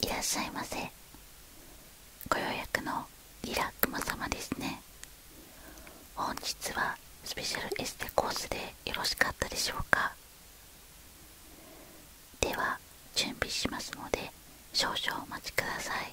いらっしゃいませご予約のリラクマ様ですね本日はスペシャルエステコースでよろしかったでしょうかでは準備しますので少々お待ちください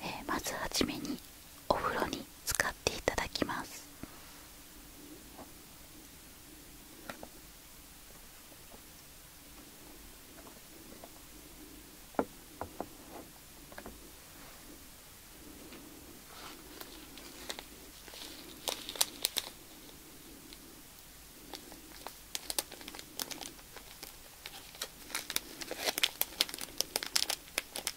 えまずはじめにお風呂に使っていただきます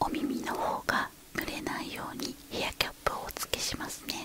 お耳の方が濡れないようにヘアキャップをお付けしますね。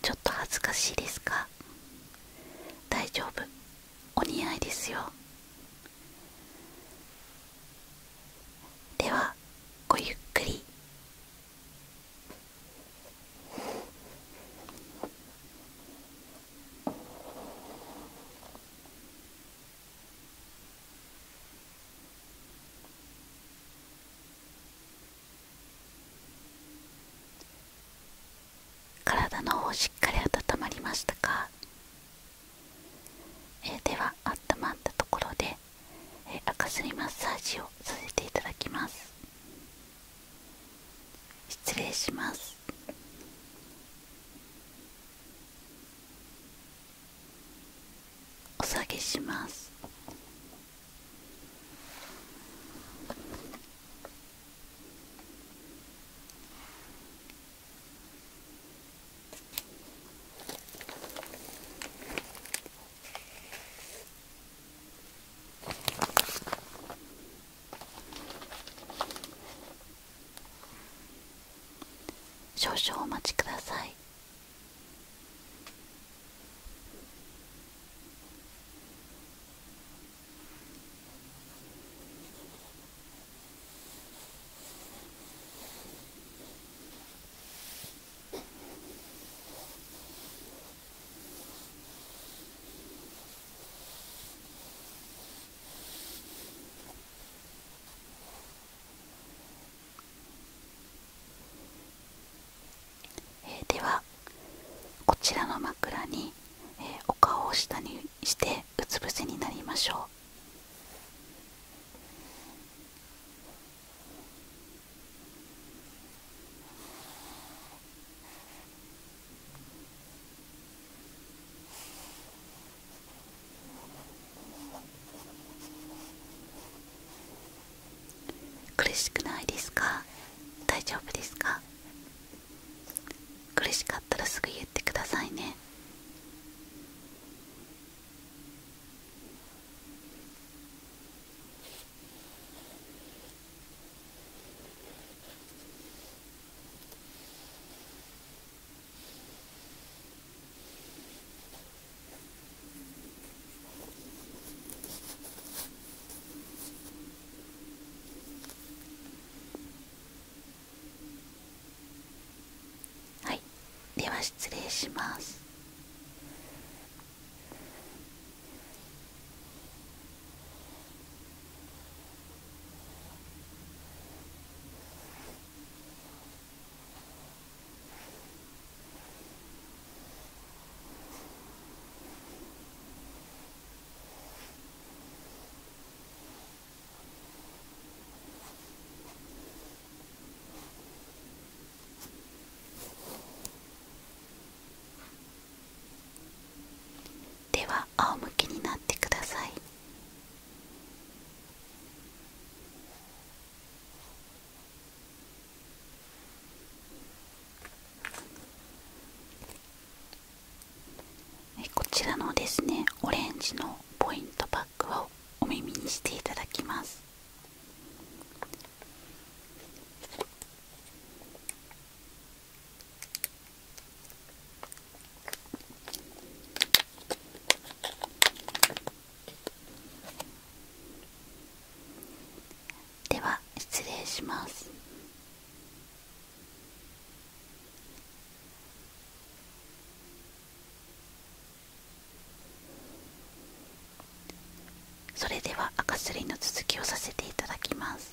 ちょっと恥ずかしいですか大丈夫お似合いですよではごゆっくり体の方しっかり温まりましたか、えでは温まったところで、え赤すりマッサージをさせていただきます失礼しますお下げします少々お待ちくださいえー、ではこちらの枕に、お顔を下にしてうつ伏せになりましょう苦しくないですか大丈夫ですか苦しかったらすぐ言ってくださいねはいでは失礼しますでは仰向けになってくださいこちらのですねオレンジのポイントパックをお耳にしていただきますでは失礼しますそれでは赤すりの続きをさせていただきます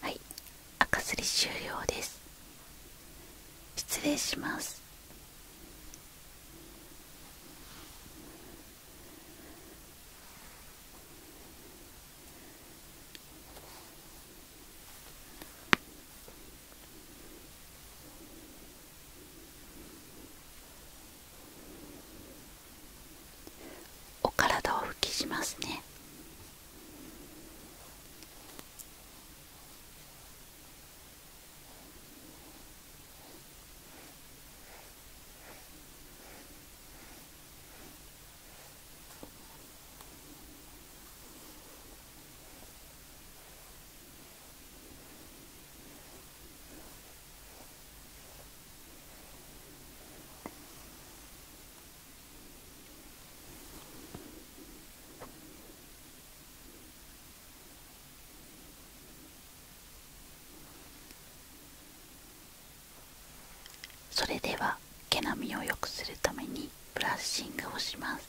はい赤すり終了です失礼しますお体を復帰しますねそれでは毛並みを良くするためにブラッシングをします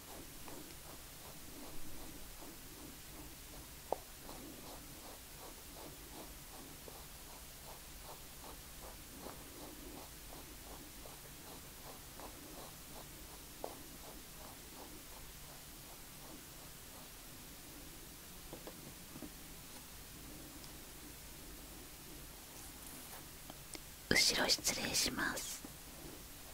後ろ失礼します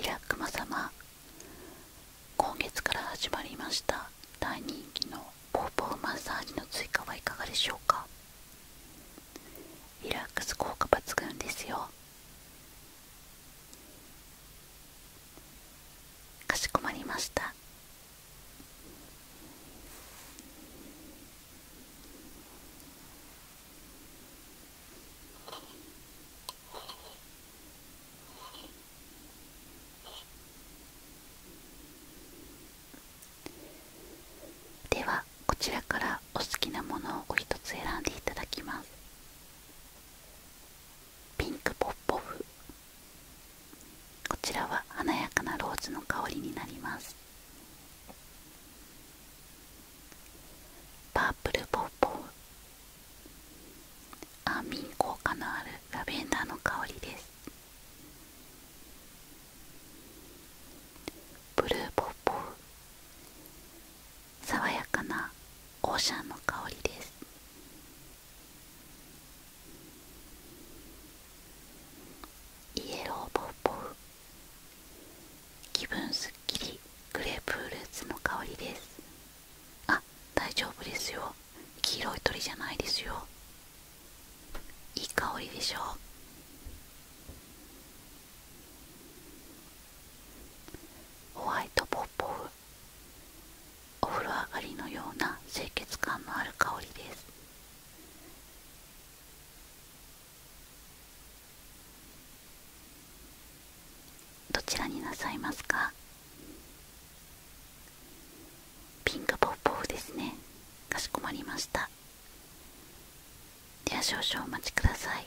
リラックマ様今月から始まりました大人気のポーポーマッサージの追加はいかがでしょうかリラックス効果抜群ですよかしこまりましたではこちらからお好きなものをお一つ選んでいただきますピンクポッポフこちらは華やかなローズの香りになりますパープルポッポフ安眠効果のあるラベンダーの香りですブルーポッポフ爽やかなオーシャンの香りですイエローボーボー気分すっきりグレープフルーツの香りですあ大丈夫ですよ黄色い鳥じゃないですよいい香りでしょうホワイトボ。ッお風呂上がりのような清潔感のある香りですどちらになさいますかピンクポッポフですねかしこまりましたでは少々お待ちください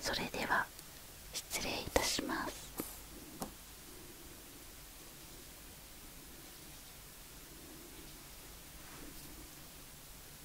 それでは失礼いたします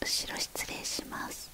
後ろ失礼します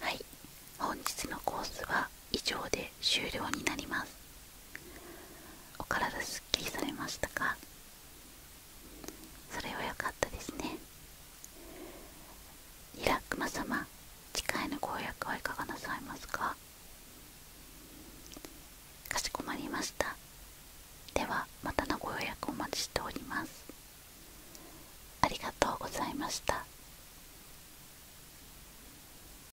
はい本日のコースは以上で終了になりますお体すっきりされましたかそれは良かったですねリラクマ様次回のご予約はいかがなさいますかかしこまりましたではまたのご予約お待ちしておりますありがとうございました